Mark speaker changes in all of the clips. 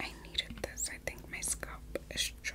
Speaker 1: I needed this. I think my scalp is dry.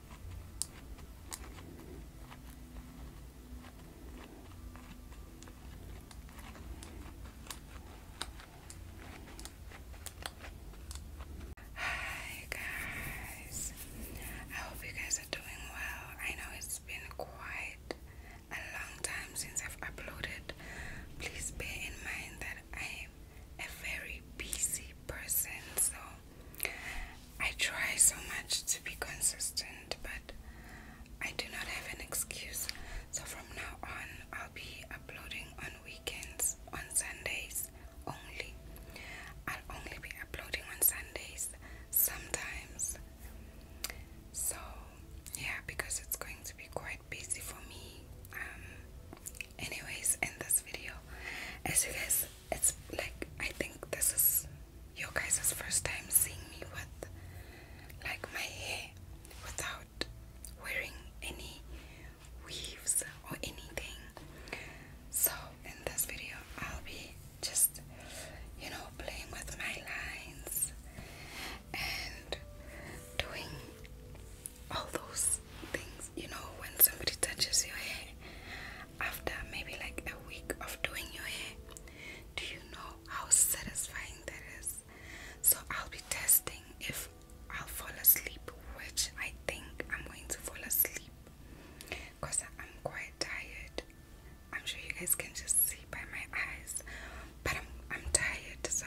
Speaker 1: Hi guys, I hope you guys are doing well. I know it's been quite a long time since I've uploaded. Please bear in mind that I'm a very busy person, so I try so much to be consistent, but I do not have an excuse. So from now on, I'll be uploading on weekends, on Sundays only. I'll only be uploading on Sundays sometimes. So, yeah, because it's going to be quite busy for me. Um, anyways in this video as you guys it's like I think this is your guys' first time seeing me with like my hair without wearing any weaves or anything so in this video I'll be just you know playing with my lines and doing all those things, you know, when somebody touches your hair after maybe like a week of doing your hair, do you know how satisfying that is? So, I'll be testing if I'll fall asleep, which I think I'm going to fall asleep because I'm quite tired. I'm sure you guys can just see by my eyes, but I'm, I'm tired, so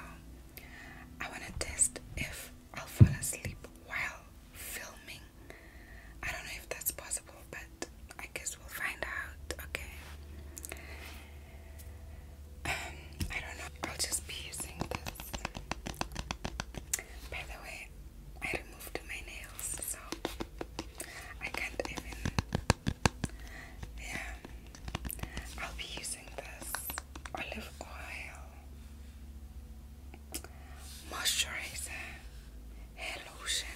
Speaker 1: I want to test if I'll fall asleep while filming. I don't know if that's possible, but I guess we'll find out. Okay. Um, I don't know. I'll just be using this. By the way, I removed my nails, so I can't even. Yeah. I'll be using this olive oil moisturizer hair lotion.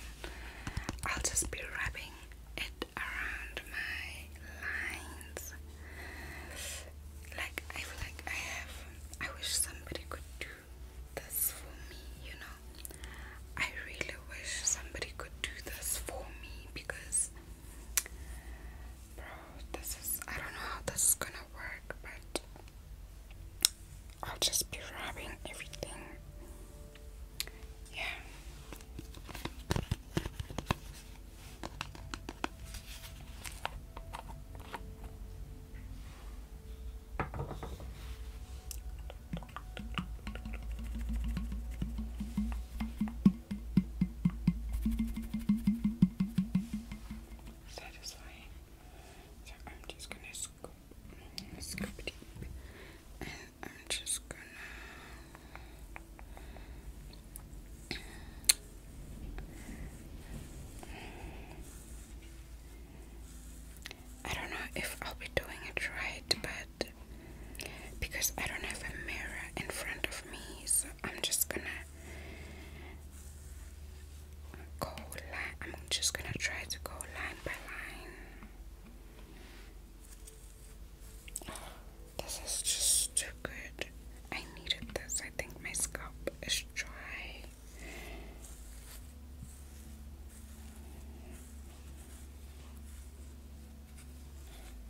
Speaker 1: I'll just be rubbing it around my lines. Like I feel like I have I wish somebody could do this for me, you know. I really wish somebody could do this for me because Bro, this is I don't know how this is gonna work, but I'll just be robbing everything. Yeah. Satisfying. So I'm just gonna scoop, scoop deep, and I'm just gonna. I don't know if I'll be doing it right, but because I don't have a mirror in front of me, so I'm just gonna go I'm just gonna try to go line by line. this is just too good. I needed this. I think my scalp is dry.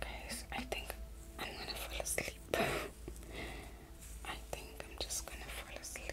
Speaker 1: Guys, I think I'm gonna fall asleep. I think I'm just gonna fall asleep.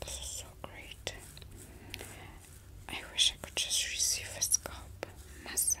Speaker 1: This is so great. I wish I could just receive a scalp massage.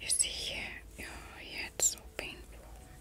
Speaker 1: You see here, Yeah, it's so painful.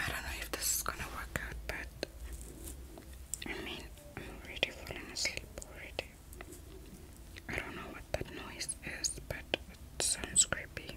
Speaker 1: I don't know if this is gonna work out, but I mean, I'm already falling asleep already. I don't know what that noise is, but it sounds creepy.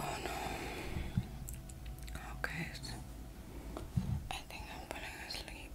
Speaker 1: Oh no. Okay. I think I'm falling asleep.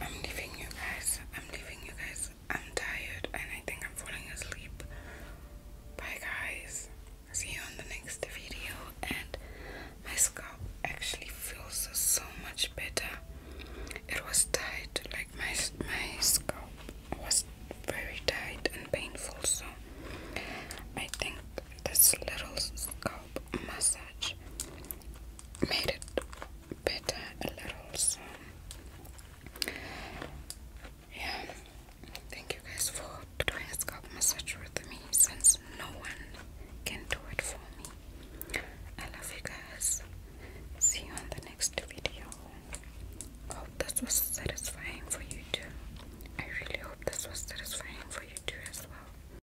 Speaker 1: I'm leaving you guys. I'm leaving you guys. I'm tired and I think I'm falling asleep. Bye, guys. See you on the next video. And my scalp actually feels so much better. It was tight, like my my scalp was very tight and painful. So I think this little scalp massage made it better a little. yeah, thank you guys for doing a scalp massage with me since no one can do it for me. I love you guys. See you on the next video. Hope this was satisfying for you too. I really hope this was satisfying for you too as well.